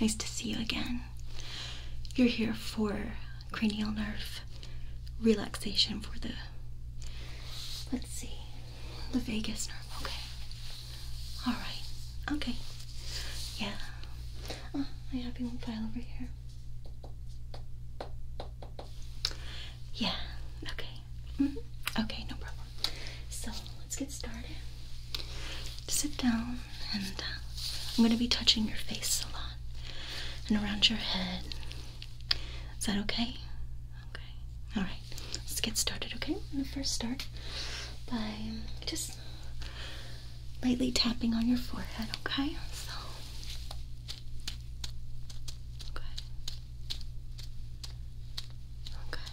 Nice to see you again. You're here for cranial nerve relaxation for the, let's see, the vagus nerve. Okay. All right. Okay. Yeah. Oh, I have your file over here. Yeah. Okay. Mm-hmm. Okay. No problem. So let's get started. Sit down. Uh, I'm going to be touching your face a lot and around your head. Is that okay? Okay. All right. Let's get started. Okay. I'm going to first start by just lightly tapping on your forehead. Okay. So. Okay. Okay.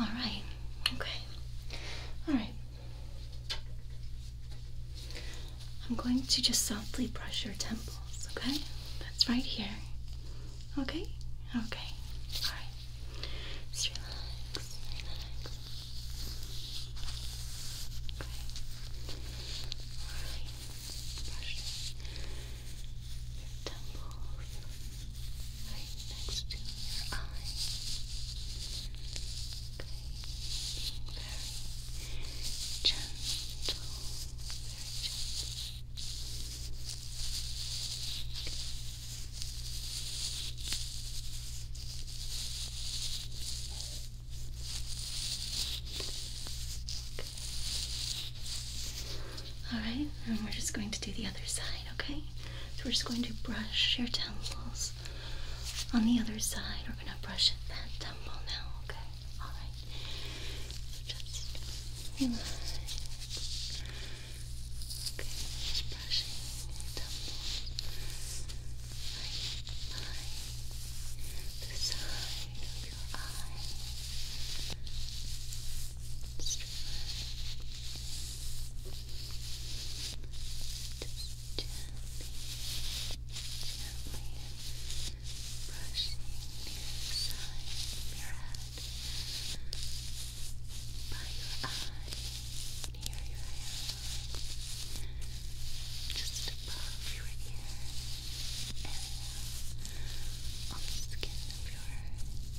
All right. Okay. All right. I'm going to just softly brush your temples, okay? That's right here. Okay? Okay. All right. Just relax. Relax. Okay your temples, right next to your eyes. Okay, very gentle, very gentle. Okay. Alright, and we're just going to do the other side, okay? So we're just going to brush your temples on the other side. We're going to brush at that temple now, okay? Alright. just Okay, brushing your temples. Right the side of your eye. Just gently, gently brushing your side of your head by your eye, near your hairline, just above your ear area, on the skin of your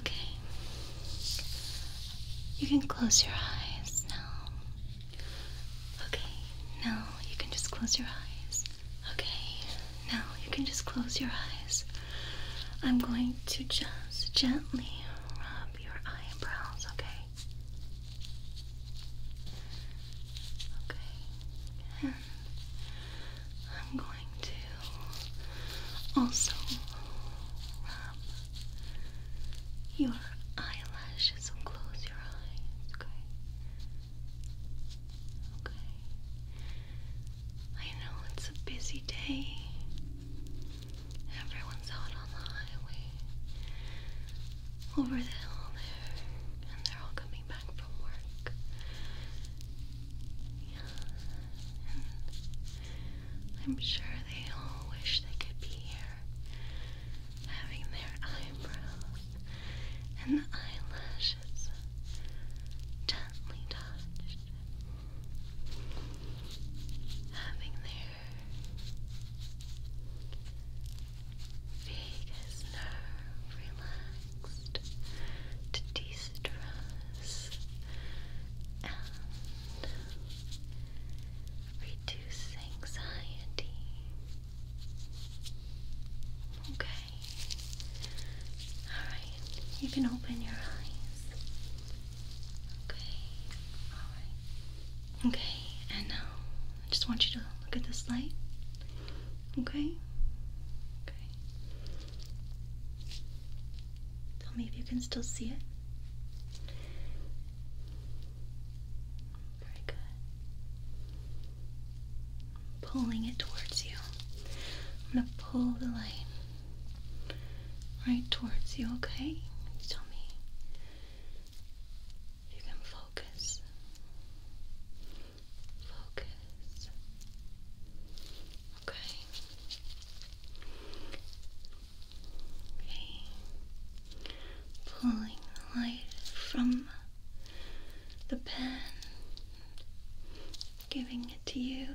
Okay. You can close your eyes now. Okay. Now you can just close your eyes. Okay. Now you can just close your eyes. I'm going to just gently rub your eyebrows, okay? Okay. I'm going to also rub your eyelashes. So close your eyes, okay? Okay. I know it's a busy day. Everyone's out on the highway. Over the hill there. And they're all coming and I'm sure they all wish they could be here, having their eyebrows and the eyelashes gently touched, having their vagus nerve to de stress, and reduce anxiety. Okay. Alright, you can open your eyes. Okay, alright. Okay, and now I just want you to look at this light. Okay? Okay. Tell me if you can still see it. Very good. pulling it towards you. I'm gonna pull the line right towards you, okay? tell me if you can focus. Focus. Okay. Okay. Pulling the light from the pen, giving it to you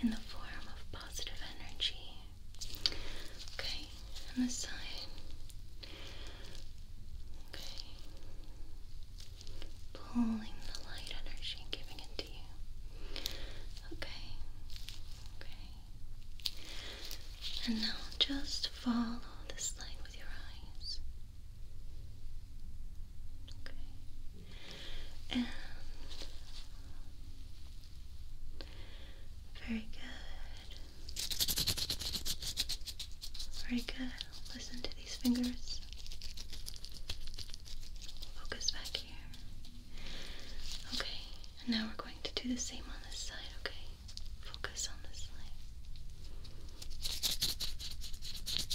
in the form of positive energy. Okay, and this side. Okay pulling the light energy giving it to you. Okay, okay. And now just follow this light with your eyes. Okay. And very good. Very good listen to these fingers. Focus back here. Okay, now we're going to do the same on this side, okay? Focus on this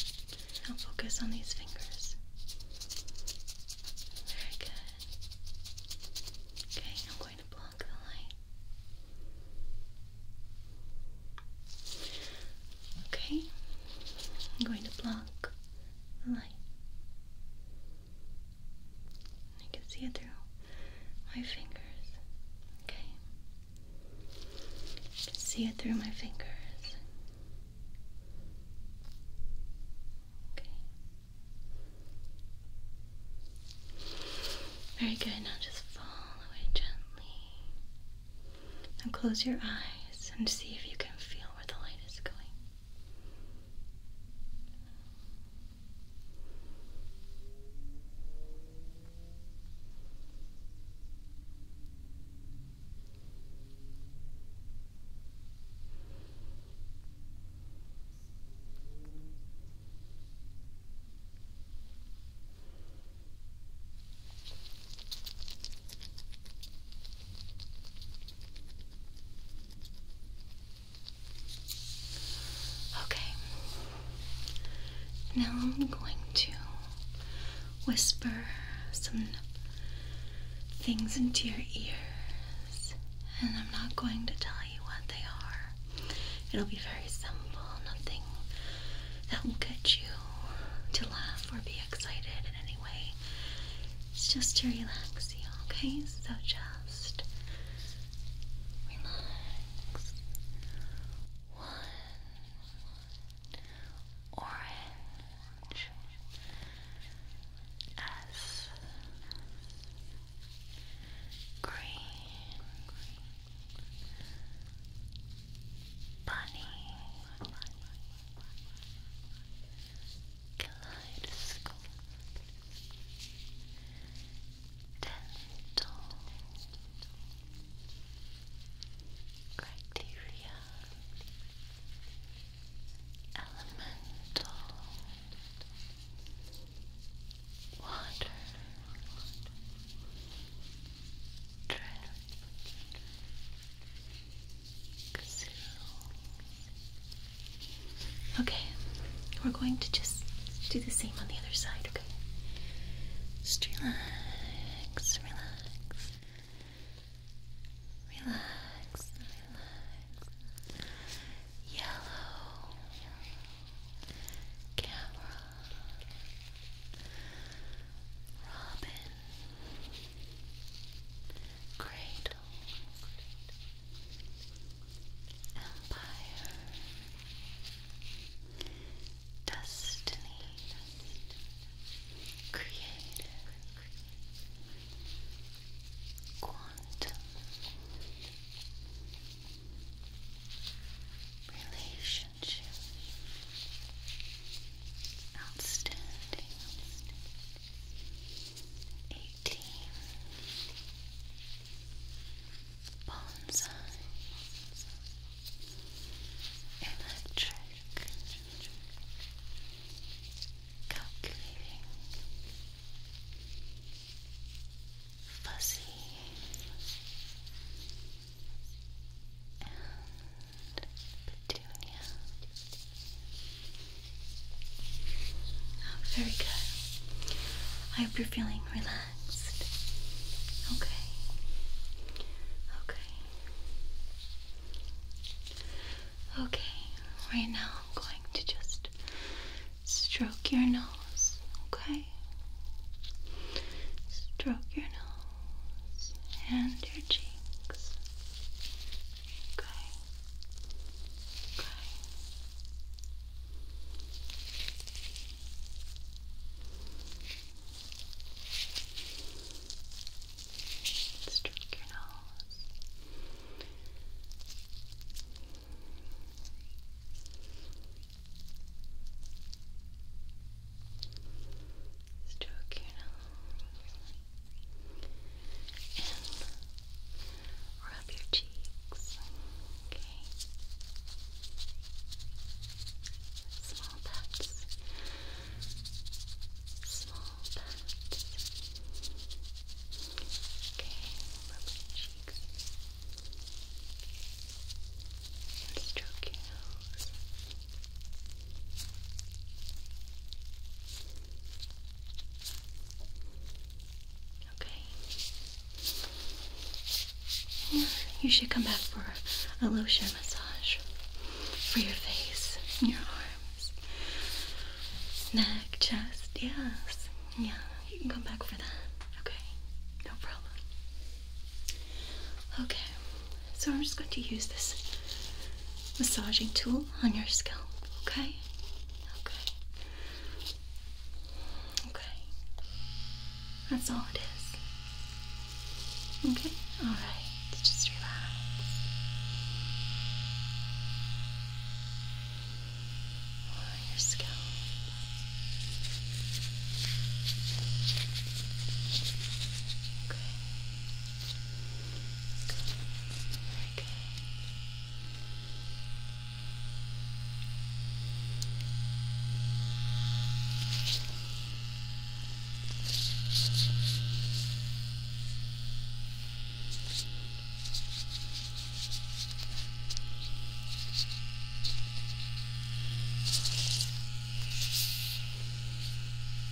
leg. Now focus on these fingers. Very good. Okay, I'm going to block the light. Okay, I'm going to block the light. You can see it through my fingers. Okay, see it through my fingers. Okay. Very good. Now just follow it gently. Now close your eyes and see if you can feel where the light is going. Okay. Now I'm going to whisper some things into your ears, and I'm not going to tell you what they are. It'll be very simple, nothing that will get you to laugh or be excited in any way. It's just to relax you, okay? So just relax. One orange S green bunny kaleidoscope dental criteria elemental water Drip. Okay, we're going to just do the same on the other side, okay? relax, relax. Relax, relax. Yellow. Camera. Robin. Cradle, Empire, Destiny, Creative, Quantum, Relation. Outstanding. Eighteen. Bonsai. Electric. Calculating. Fuzzy and petunia. very good. I hope you're feeling relaxed. Okay. Okay. Okay, right now I'm going to just stroke your nose, okay? Stroke your nose and your cheeks. Okay. Okay. Stroke your nose. Stroke your nose and rub your cheeks. Okay. Small pats. Small pats. Okay, rub your cheeks. And stroke your nose. Okay. you should come back for a lotion massage for your face, your arms, neck, chest. Yes. Yeah, you can come back for that. Okay. No problem. Okay. So I'm just going to use this massaging tool on your scalp, okay? Okay. Okay. That's all it is. Okay? Alright. Just relax. On your scalp. Okay. Very good. Very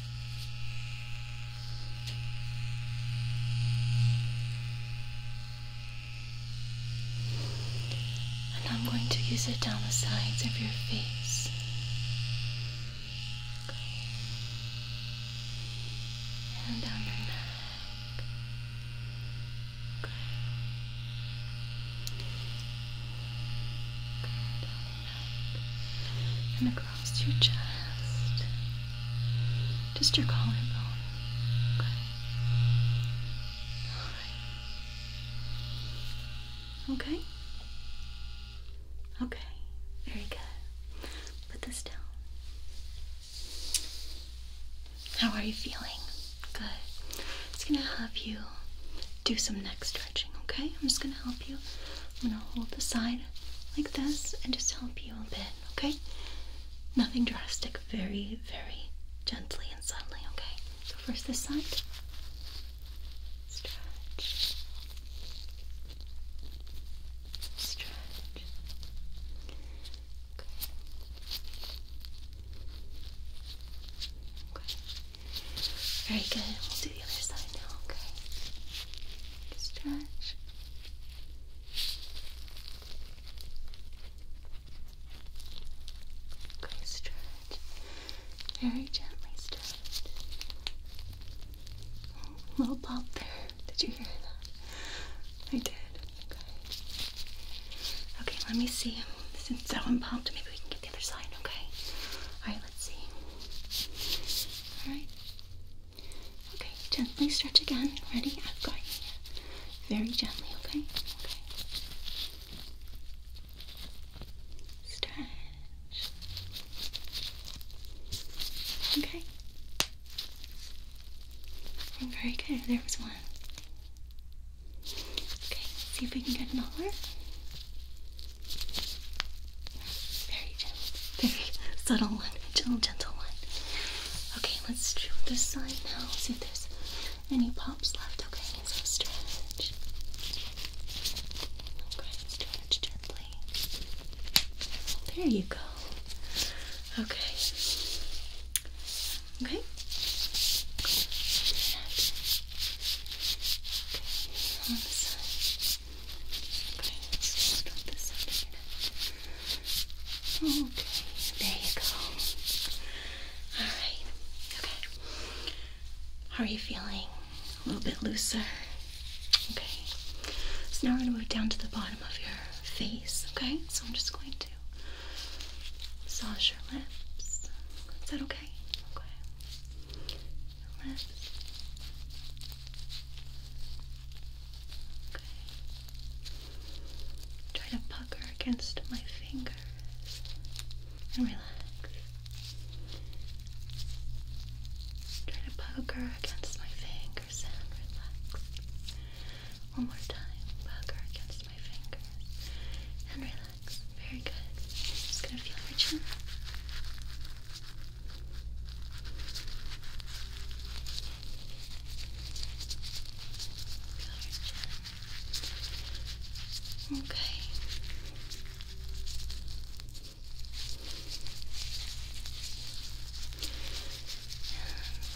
and I'm going to use it down the sides of your face. Good. And down your neck. Good. Good and across your chest, just your collarbone. Okay. Okay. Okay. Very good. Put this down. How are you feeling? Good. It's gonna help you do some neck okay? I'm just gonna help you. I'm gonna hold the side like this and just help you a bit, okay? Nothing drastic, very, very gently and subtly, okay? So, first this side. Stretch. Stretch. Okay. Okay. Very good. We'll do the other side now, okay? Stretch. Okay, stretch. Very gently stretch. little pop there. Did you hear that? I did. Okay. Okay, let me see. Since that one popped, maybe we can get the other side, okay? Alright, let's see. Alright. Okay, gently stretch again. Ready? I've got here. Very gently, okay? Okay. Stretch. Okay. Very good. There was one. Okay, see if we can get another. Very gentle, very subtle one, a gentle, gentle one. Okay, let's do this side now. See if there's any pops left. Okay, so stretch. Okay, stretch gently. There you go. Okay. Okay. Okay, on the side. Okay, let this up Okay, there you go. Alright, okay. How are you feeling? A little bit looser? Okay. So now we're going to move down to the bottom of your face, okay? So I'm just going to massage your lips. Is that okay? Okay your lips. Okay. Try to pucker against my fingers and relax. Try to pucker against my fingers and relax. One more time, pucker against my fingers and relax. Very good. Just gonna feel your chin. Okay.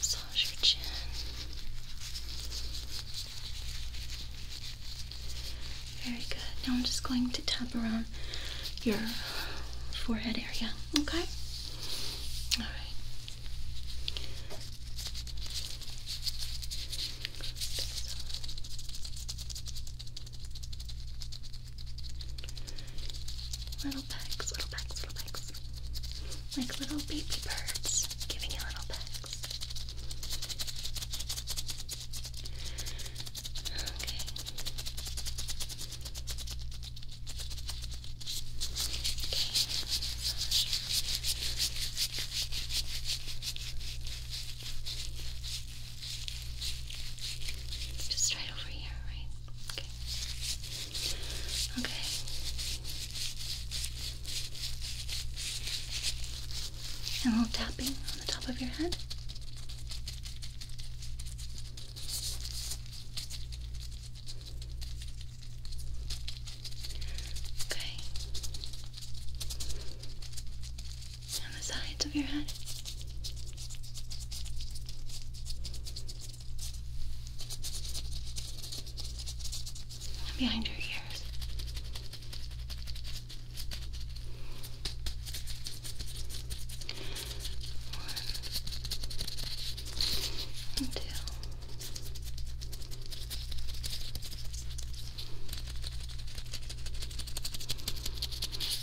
massage your chin. Very good. Now I'm just going to tap around your forehead area, okay? All right. Little pecks, little pecks, little pecks. Like little baby birds giving you little pecks. Okay. Okay. Just right over here, right? Okay. Okay. And a little tapping on the top of your head. Okay. On the sides of your head. And behind your ears and two.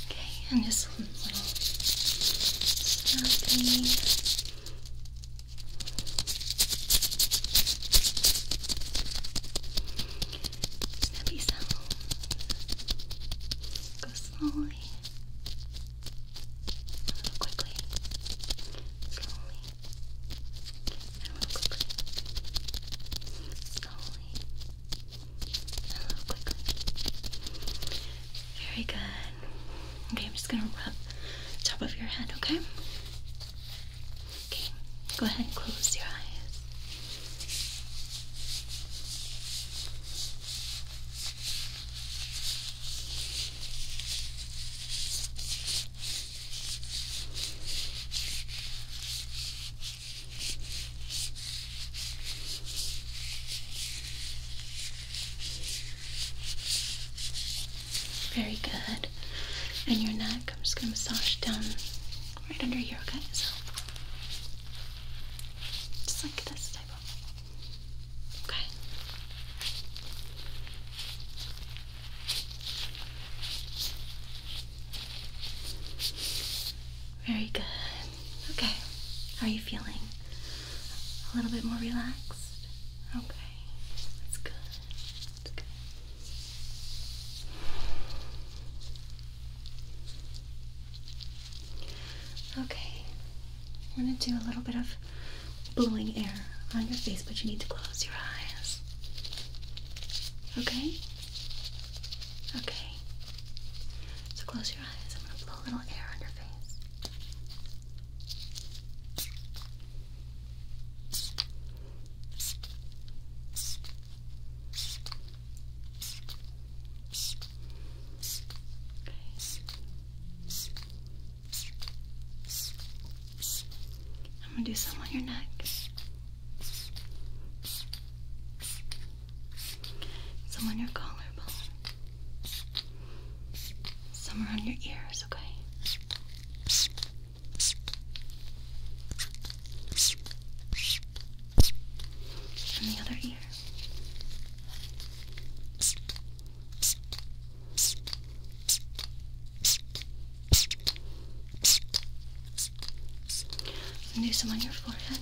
Okay, and just a little snapping snappy sounds. Go slowly. A little quickly. Slowly. And a quickly. Slowly. And a quickly. Very good. Okay, I'm just gonna rub the top of your head, okay? Okay, go ahead and close your eyes. Very good. And your neck, I'm just going to massage down right under your eyes. Just like this type of. Okay. Very good. Okay. How are you feeling? A little bit more relaxed? Okay. That's good. That's good. Okay, I'm gonna do a little bit of blowing air on your face, but you need to close your eyes. Okay? Okay. So close your eyes. I'm gonna blow a little air on your face. I'm gonna do some on your neck. Some on your collarbone. Some around your ears, okay? And the other here. do some on your forehead.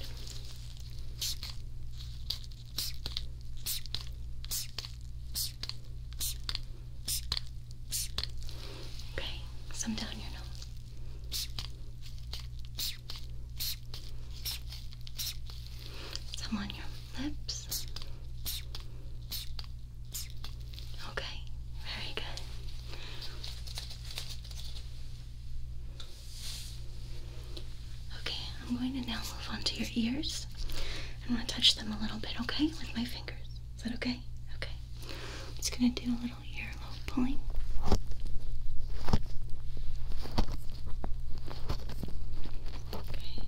Okay, some down your nose. Some on your lips. Okay, very good. Okay, I'm going to now move on to your ears. I'm going to touch them a little bit, okay, with my fingers. Is that okay? Okay. i just going to do a little ear little pulling. Okay.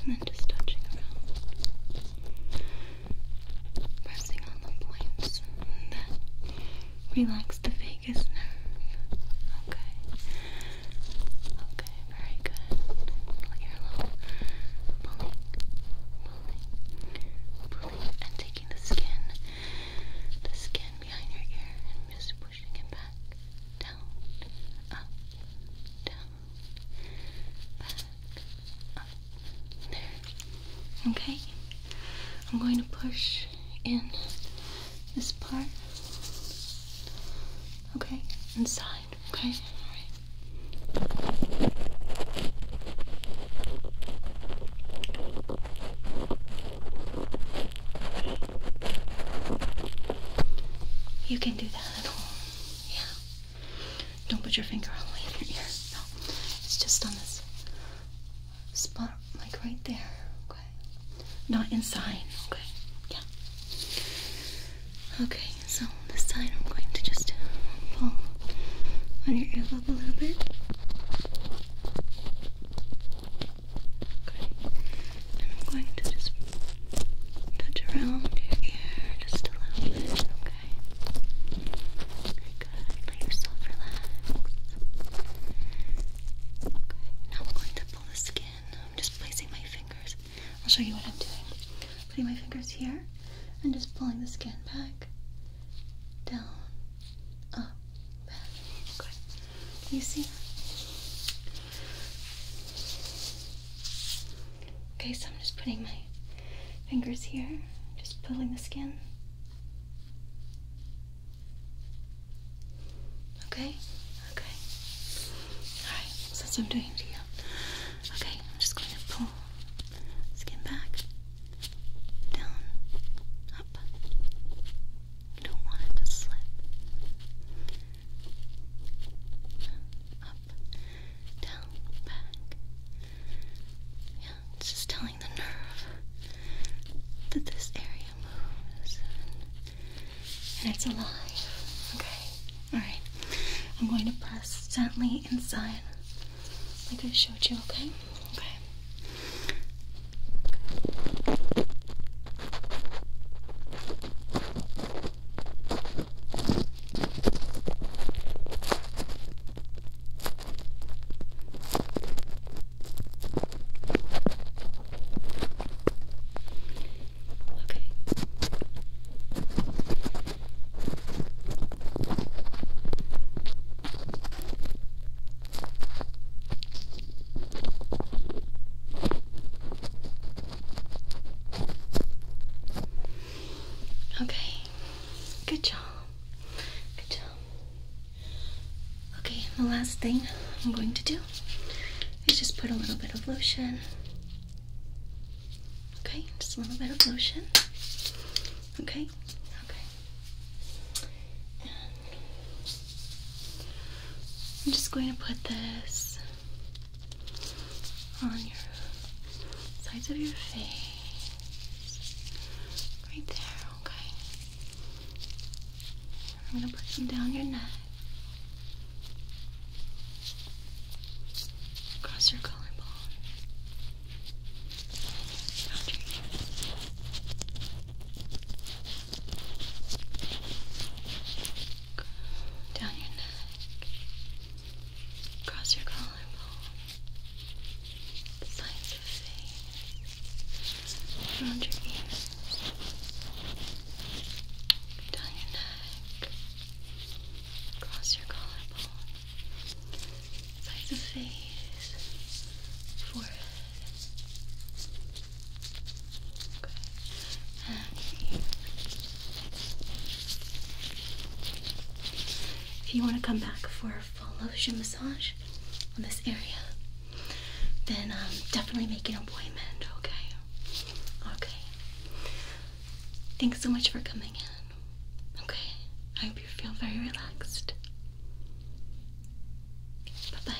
And then just touching around. Pressing on the points and then relax the vagus nerve. Okay. Okay, very good. Let pulling, pulling, pulling, and taking the skin the skin behind your ear and just pushing it back, down, up, down, up, there. Okay, I'm going to push in this part. Okay, inside. Okay, all right. You can do that at home. Yeah. Don't put your finger all the way in your ear. No. It's just on this spot, like right there. Okay. Not inside. Okay. Yeah. Okay, so this side I'm going to just pull on your earlobe a little bit. Okay. And I'm going to just touch around your ear just a little bit, okay? Very good. Let yourself relax. Okay, now I'm going to pull the skin. I'm just placing my fingers. I'll show you what I'm doing. Putting my fingers here and just pulling the skin back down, up, and You see Okay, so I'm just putting my fingers here, just pulling the skin. Okay, okay. Alright, so that's what I'm doing to you. Okay, I'm just going to pull skin back down, up. You don't want it to slip. Up, down, back. Yeah, it's just telling the nerve that this area moves and, it's alive. Okay, alright. I'm going to press gently inside like I showed you, okay? Okay. okay. Okay. Okay, good job. Good job. Okay, the last thing I'm going to do is just put a little bit of lotion. Okay, just a little bit of lotion. Okay, okay. I'm just going to put this on your sides of your face. Right there, okay. I'm gonna put some down your neck. Across your collarbone. Around down your neck, across your collarbone, the sides of face, around your ears, down your neck, across your collarbone, by the face, forehead. Okay. And If you want to come back for a full lotion massage on this area, then um, definitely make an appointment, okay? Okay. Thanks so much for coming in. Okay you feel very relaxed. Bye bye.